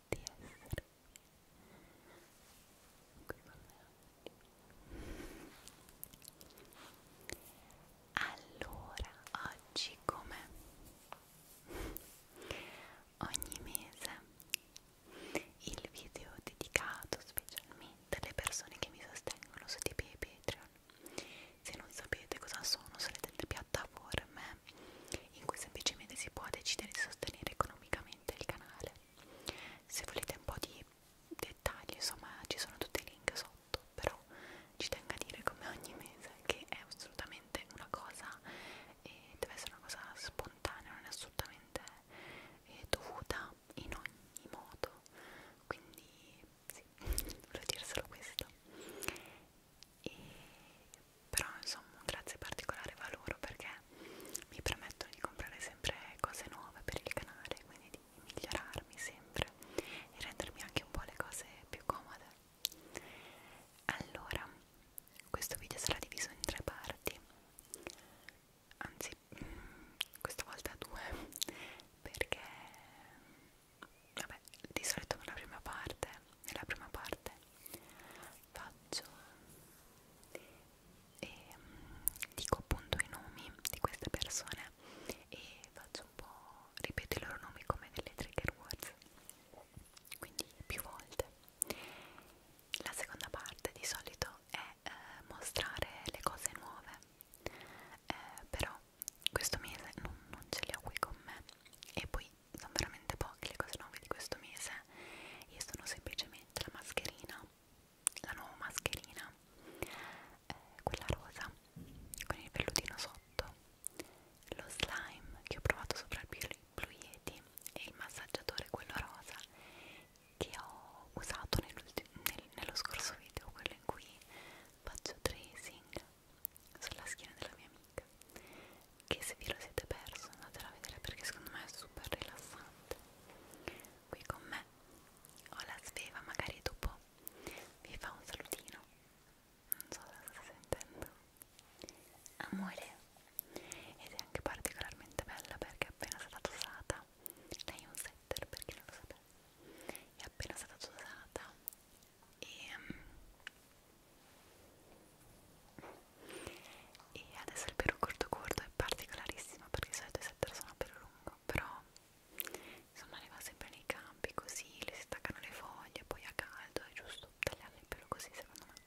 di essere qui con me allora oggi come ogni mese il video dedicato specialmente alle persone che mi sostengono su TP e Patreon se non sapete cosa sono sono delle piattaforme in cui semplicemente si può decidere di sostenere economicamente il canale se volete un po' di dettagli insomma ci sono tutti i link sotto però ci tengo a dire come ogni mese che è assolutamente una cosa e deve essere una cosa spontanea non è assolutamente eh, dovuta in ogni modo quindi sì, volevo dire solo questo e, però insomma un grazie particolare va loro perché mi permettono di comprare sempre cose nuove per il canale, quindi di migliorarmi sempre e rendermi anche un po' le cose più comode. Allora, questo video sarà diviso in tre parti, anzi, mm, questa volta due, perché vabbè, di solito nella prima parte, nella prima parte faccio e ehm, dico appunto i nomi di queste persone e faccio un po' ripeto i loro nomi come delle trigger words quindi più volte la seconda parte di solito è eh, mostrare le cose nuove eh, però questo mese non, non ce le ho qui con me e poi sono veramente poche le cose nuove di questo mese io sono semplicemente finalmente la mascherina, la nuova mascherina, eh, quella rosa con il pellutino sotto, lo slime che ho provato sopra il Blue Yeti e il massaggiatore quello rosa che ho usato nel, nello scorso video, quello in cui faccio tracing sulla schiena della mia amica che se vi lo siete perso andatela a vedere perché secondo me è super rilassante qui con me ho la sveva magari dopo vi fa un salutino non so se sta sentendo amore ed è anche particolarmente bella perché è appena stata usata lei è un setter per chi non lo sapeva è appena stata usata e um, e adesso il pelo corto corto è particolarissimo perché di solito i setter sono a pelo lungo però insomma ne va sempre nei campi così le si staccano le foglie poi a caldo è giusto tagliare il pelo così secondo me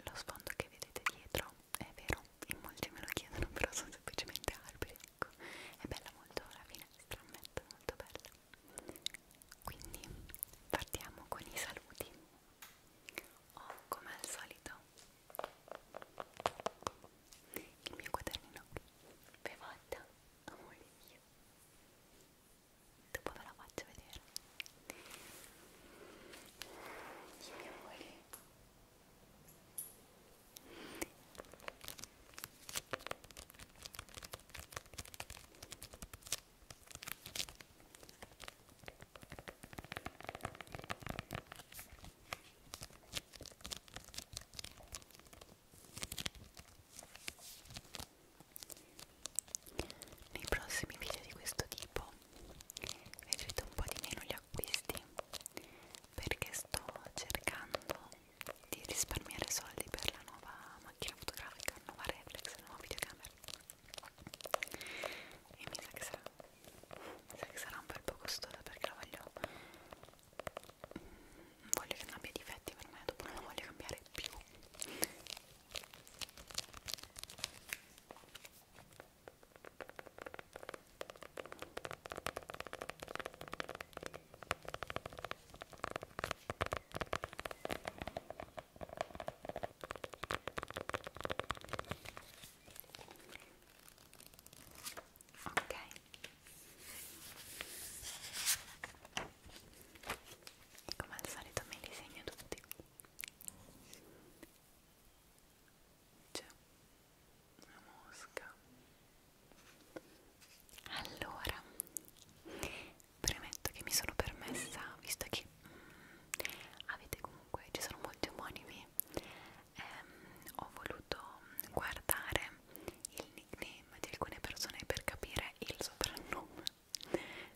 lo sfondo che vedete dietro è vero in molti me lo chiedono però sono semplicemente alberi ecco è bella molto la finestra ammetto molto bella quindi partiamo con i saluti ho come al solito il mio quadernino bevata amore mio dopo ve la faccio vedere il mio amore nei prossimi video di questo tipo vedrete un po' di meno gli acquisti perché sto cercando di risparmiare soldi per la nuova macchina fotografica, la nuova reflex, la nuova videocamera e mi sa che sarà mi sa che sarà un bel po' costosa perché la voglio mm, voglio che non abbia difetti per me dopo non la voglio cambiare più ok come al solito me li segno tutti c'è una mosca allora premetto che mi sono permessa visto che avete comunque ci sono molti omonimi ehm, ho voluto guardare il nickname di alcune persone per capire il soprannome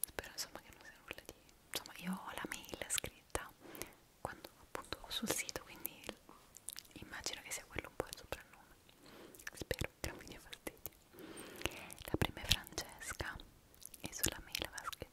spero insomma che non sia nulla di insomma io ho la mail scritta quando appunto sul sito quindi immagino che sia quello un po' il soprannome spero che non mi dia fastidio la prima è Francesca e sulla mail aveva scritto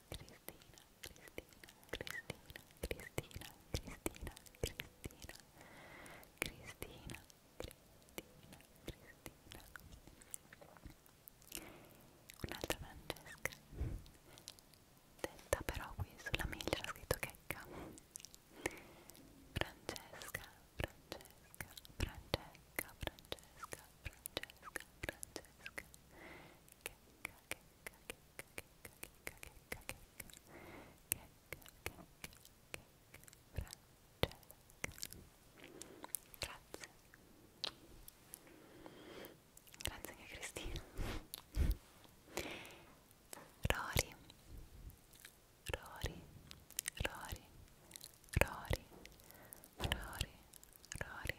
Cristina, Cristina, Cristina, Cristina, Cristina, Cristina, Cristina, Cristina, Cristina. Un'altra Francesca. Detta però qui sulla mail c'era scritto checca. Francesca, Francesca, Francesca, Francesca, Francesca, Francesca, checca, checca, checca, Grazie. Grazie anche Cristina. Rory. Rory. Rory. Rory. Rory. Rory.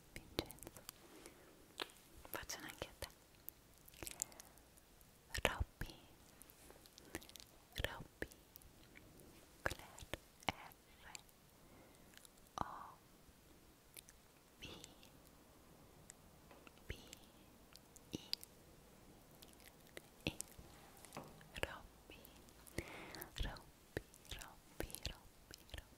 Vincenzo facciano anche a te Robby Robby Claire R O B B I E Robby Robby Robby Robby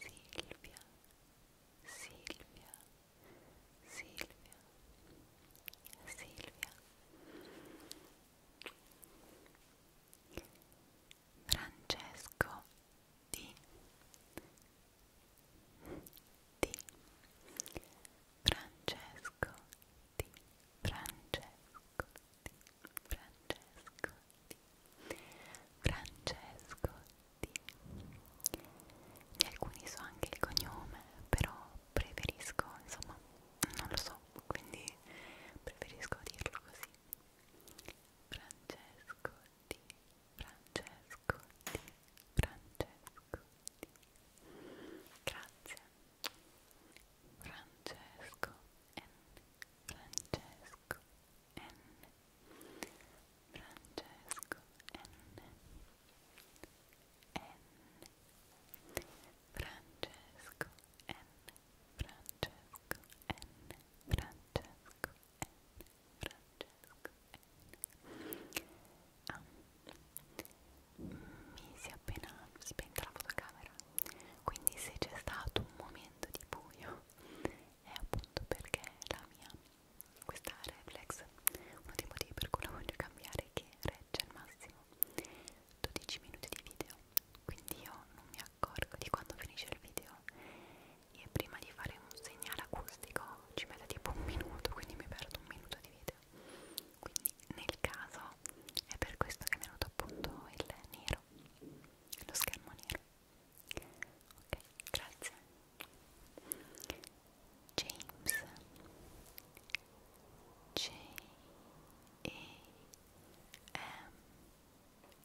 Silvia, Silvia, Silvia, Silvia. Francesco di di Francesco di Francesco di Francesco di, Francesco Di. Di alcuni so anche il cognome, però preferisco, insomma, non lo so, quindi preferisco dirlo così. Francesco Di, Francesco Di, Francesco Di. Grazie. Francesco N. Francesco N. N Francesco N N Francesco N Francesco N Francesco N Francesco N ah. mi si è appena spenta la fotocamera quindi se c'è stato un momento di buio è appunto perché la mia questa reflex uno dei motivi per cui la voglio cambiare è che regge al massimo 12 minuti di video quindi io non mi accorgo di quando finisce il video e prima di fare un segnale acustico ci metto tipo un minuto quindi mi perdo un minuto di video quindi nel caso è per questo che è venuto appunto il nero lo schermo nero ok, grazie James J E M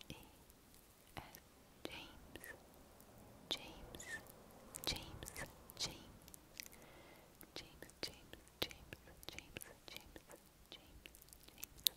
E S James James James James James James James James James James James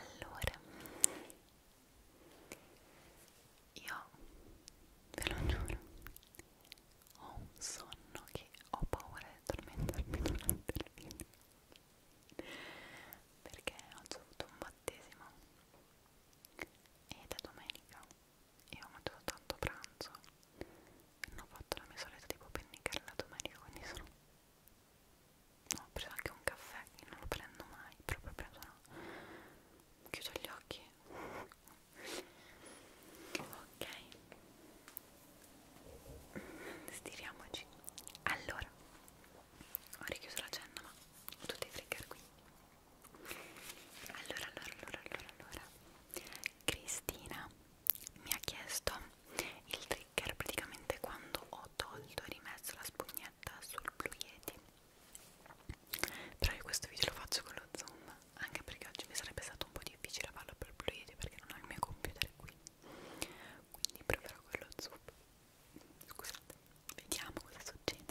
allora io ve lo giuro ho un sonno che ho paura di addormentarmi durante il video perché oggi ho avuto un battesimo ed è domenica e ho mangiato tanto pranzo non ho fatto la mia solita tipo pennicarella domenica quindi sono ho preso anche un caffè che non lo prendo mai proprio preso no chiudo gli occhi ok stiriamoci allora ho richiuso la cenna ma ho tutti i trigger qui allora allora allora allora allora Cristina mi ha chiesto il trigger praticamente quando ho tolto e rimesso la spugnetta sul Blue Yeti però io questo video lo faccio con lo zoom anche perché oggi mi sarebbe stato un po' difficile farlo per il Blue Yeti perché non ho il mio computer qui quindi proverò con lo zoom scusate vediamo cosa succede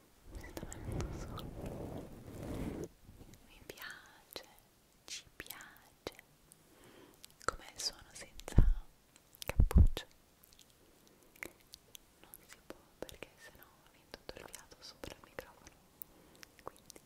sta venendo solo mi piace ci piace com'è il suono senza cappuccio non si può perché sennò viene tutto il fiato sopra il microfono quindi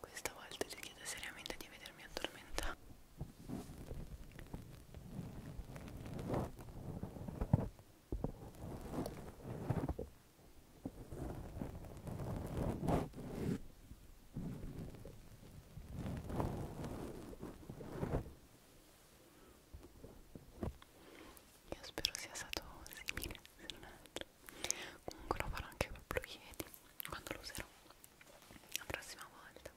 Questa volta ti chiedo seriamente di vedermi addormentare io spero sia stato simile, se non altro. Comunque lo farò anche proprio ieri, quando lo userò la prossima volta.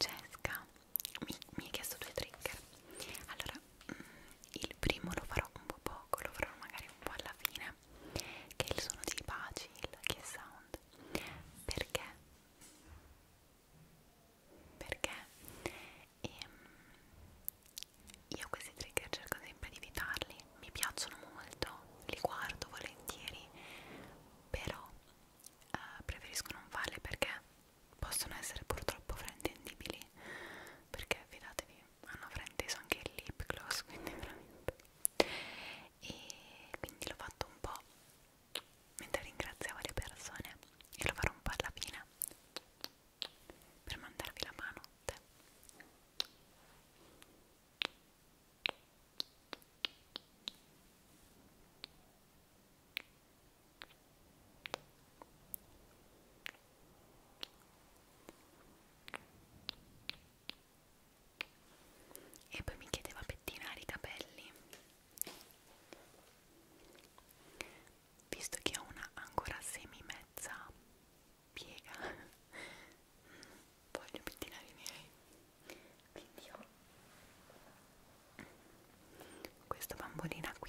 Francesca mi, mi ha chiesto due trigger allora mm, il primo lo farò un po' poco lo farò magari un po' alla fine che è il suono di Bacil che è sound perché perché ehm, io questi trigger cerco sempre di evitarli mi piacciono molto, li guardo volentieri, però eh, preferisco non farle perché possono essere purtroppo fraintendibili, perché fidatevi, hanno frainteso anche il lip gloss, quindi veramente. E quindi l'ho fatto un po' mentre ringraziavo le persone e lo farò un po' alla fine per mandarvi la mano. E poi mi chiedeva pettinare i capelli. Visto che ho una ancora semi mezza piega voglio pettinare i miei quindi ho questa bambolina qui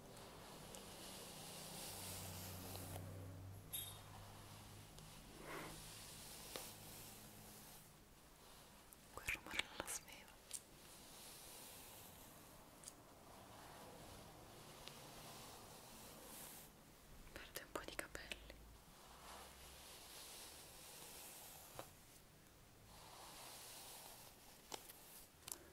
Quel rumore non la sveva. Perde un po' di capelli.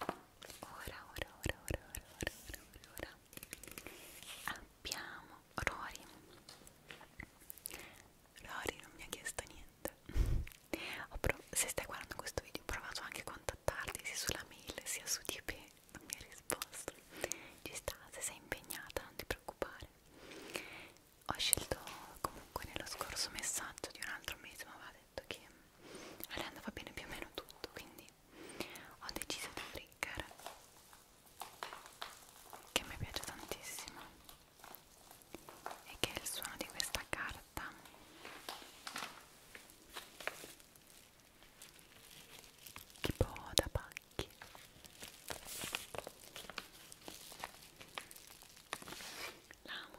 Ora, ora, ora, ora, ora, ora, ora, ora, ora. Abbiamo Rory. Rory non mi ha chiesto niente. Se stai guardando questo video, ho provato anche a contattarti sia sulla mail sia su DP. Non mi ha risposto. Ci sta, se sei impegnata, non ti preoccupare. Ho scelto comunque nello scorso messaggio di un altro mese, ma vale detto che a mm, lei andava bene più o meno tutto, quindi ho deciso di friggare che mi piace tantissimo e che è il suono di questa carta tipo da pacchi l'amo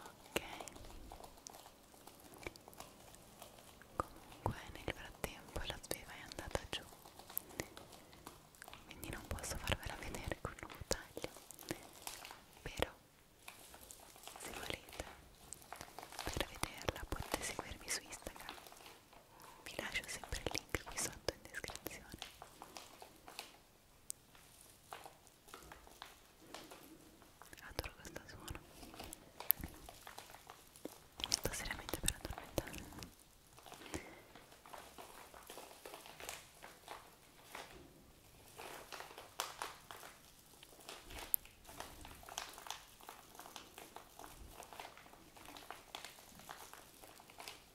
ok comunque nel frattempo la sveva è andata giù quindi non posso farvela vedere con un taglio però se volete per vederla potete seguirmi su Instagram vi lascio sempre il link qui sotto in descrizione adoro questo suono sto seriamente per addormentare Ecco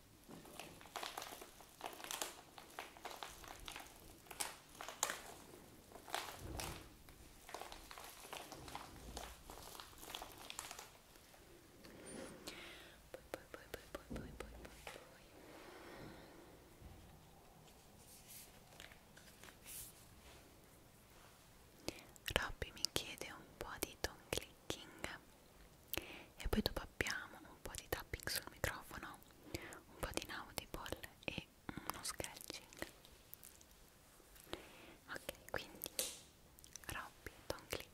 poi, poi, poi, poi, poi, poi, poi, poi. Robby mi chiede un po' di Don Clean picking e poi dopo abbiamo un po' di tapping sul microfono un po' di inaudible e uno scratching ok quindi Robby Don Clicking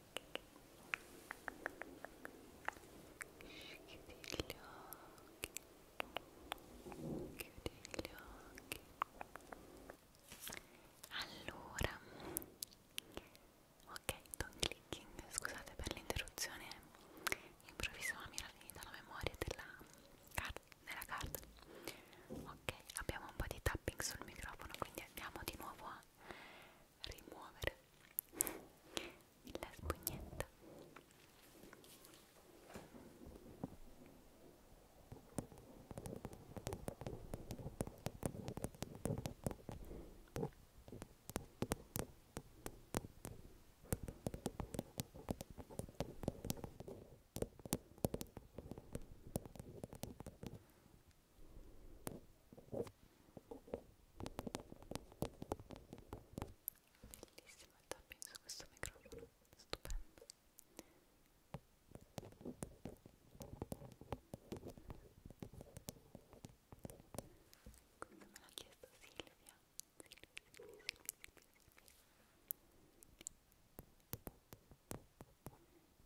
Chiudi gli occhi. Chiudi gli occhi. Allora, ok, don't clicking, scusate per l'interruzione improvvisa, mi era finita la memoria della, car della carta. Ok, abbiamo un po' di tapping sul microfono, quindi andiamo di nuovo a rimuovere la spugnetta Bellissimo il tapping su questo microfono, stupendo. Come me l'ha chiesto Silvia. Silvia, Silvia, Silvia, Silvia.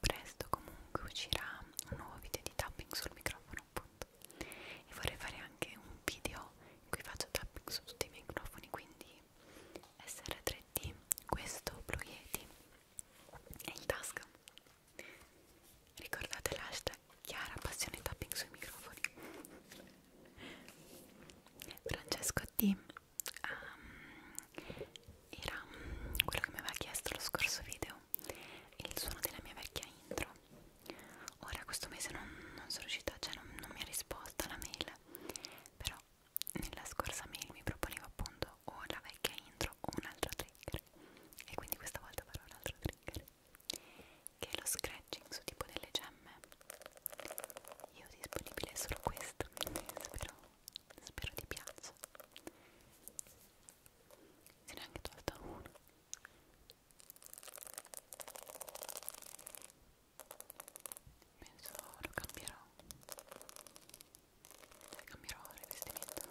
Presto comunque uscirà un nuovo video di tapping sul microfono appunto e vorrei fare anche un video in cui faccio tapping su tutti i microfoni quindi SR3D questo Blue Yeti e il task ricordate l'hashtag Chiara passione tapping sui microfoni Francesco D um, era quello che mi aveva chiesto lo scorso video il suono della mia vecchia intro ora questo mese non, non sono riuscita cioè non, non mi ha risposto alla mail però nella scorsa mail mi proponeva appunto o la vecchia intro o un altro trigger e quindi questa volta farò un altro trigger che è lo scratching su tipo delle gemme io ho disponibile solo questo spero, spero ti piaccia se ne è anche tolto uno penso lo cambierò e cambierò il rivestimento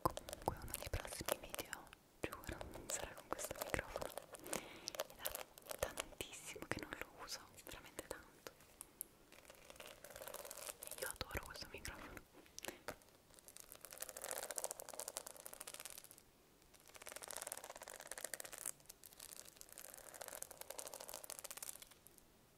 comunque uno dei prossimi video giuro sarà con questo microfono è da tantissimo che non lo uso veramente tanto io adoro questo microfono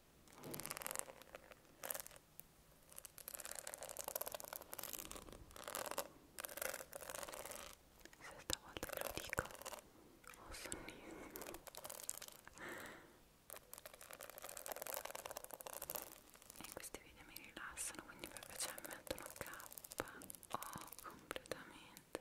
Se stavolta ve lo dico, ho oh, sonnissimo. E questi video mi rilassano, quindi per piacere cioè, mettono K o oh, completamente.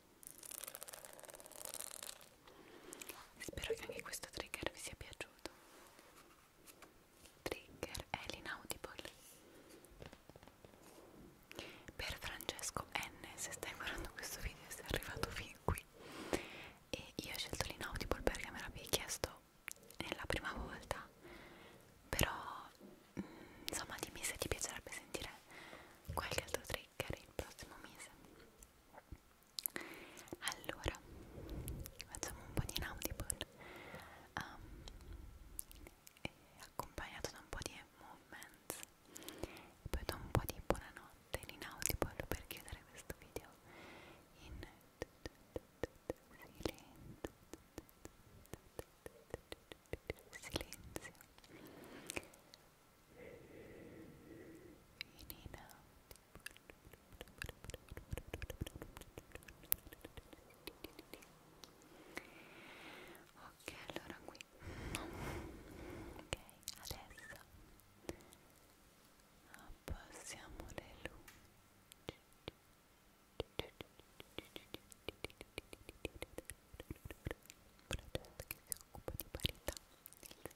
Spero che anche questo trigger vi sia piaciuto. Trigger è l'inaudible. Per Francesco N, se stai guardando questo video e sei arrivato fin qui. E io ho scelto l'inaudible perché me l'avevi chiesto nella prima volta. Però, mh, mm, insomma, dimmi se ti piacerebbe sentire qualche altro trigger trigger il prossimo mese allora facciamo un po' di inaudible um, accompagnato da un po' di movements e poi da un po' di buonanotte in inaudible per chiudere questo video in silenzio silenzio in and out ok allora qui ok adesso abbassiamo le luci una testa che si occupa di parità del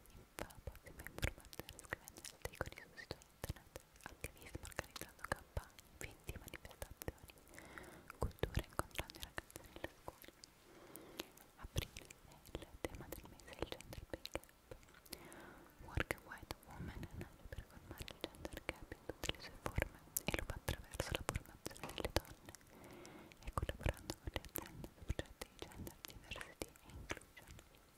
Infatti, membro mangiare scrivendo articoli sul sito internet, attivismo organizzando campagne, eventi, manifestazioni, cultura incontrando i ragazzi nelle scuole. Aprile è il tema del mese il gender pay gap. Work a White Woman nasce per colmare il gender gap in tutte le sue forme e lo fa attraverso la formazione delle donne e collaborando con le aziende progetti di gender diversity e inclusion.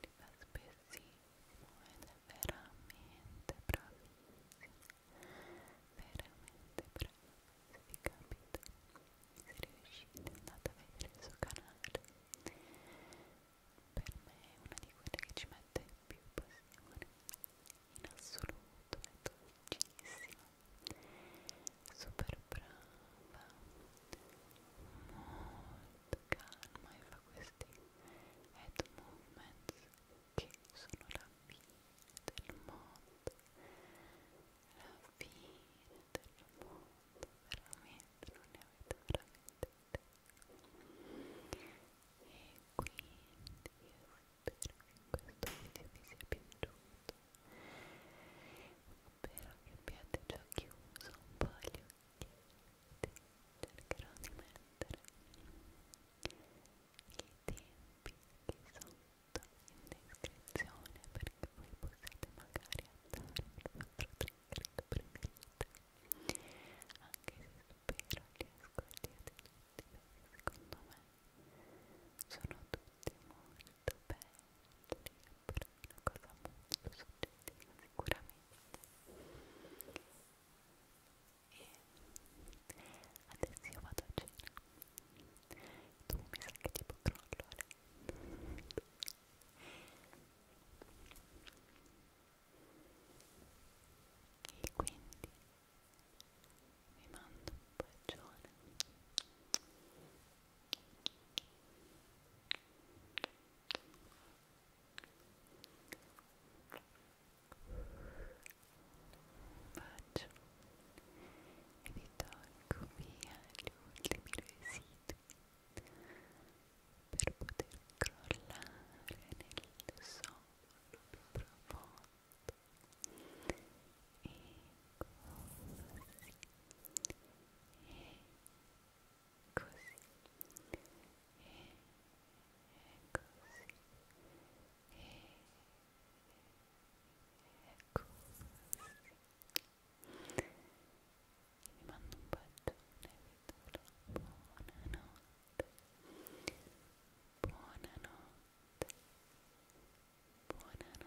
li fa spessissimo ed è veramente bravissimo veramente bravo se vi capita se riuscite andate a vedere il suo canale per me è una di quelle che ci mette più passione in assoluto è dolcissima super brava molto calma e fa questi head movements che sono la fine del mondo la fine del mondo veramente non ne avete veramente e quindi io spero che questo video vi sia piaciuto spero che abbiate già chiuso un po' gli occhietti cercherò di mettere i tempi qui sotto in descrizione perché voi possiate magari andare al vostro trigger preferito anche se spero li ascoltiate tutti perché secondo me sono tutti molto belli una cosa molto soggettiva sicuramente e adesso io vado a cena tu mi sa che tipo crollo a letto e quindi vi mando un bacione vi tolgo via le mie residui per poter crollare nel sonno più profondo e così e così così e così e così vi mando un bacione vi do la buonanotte buonanotte buonanotte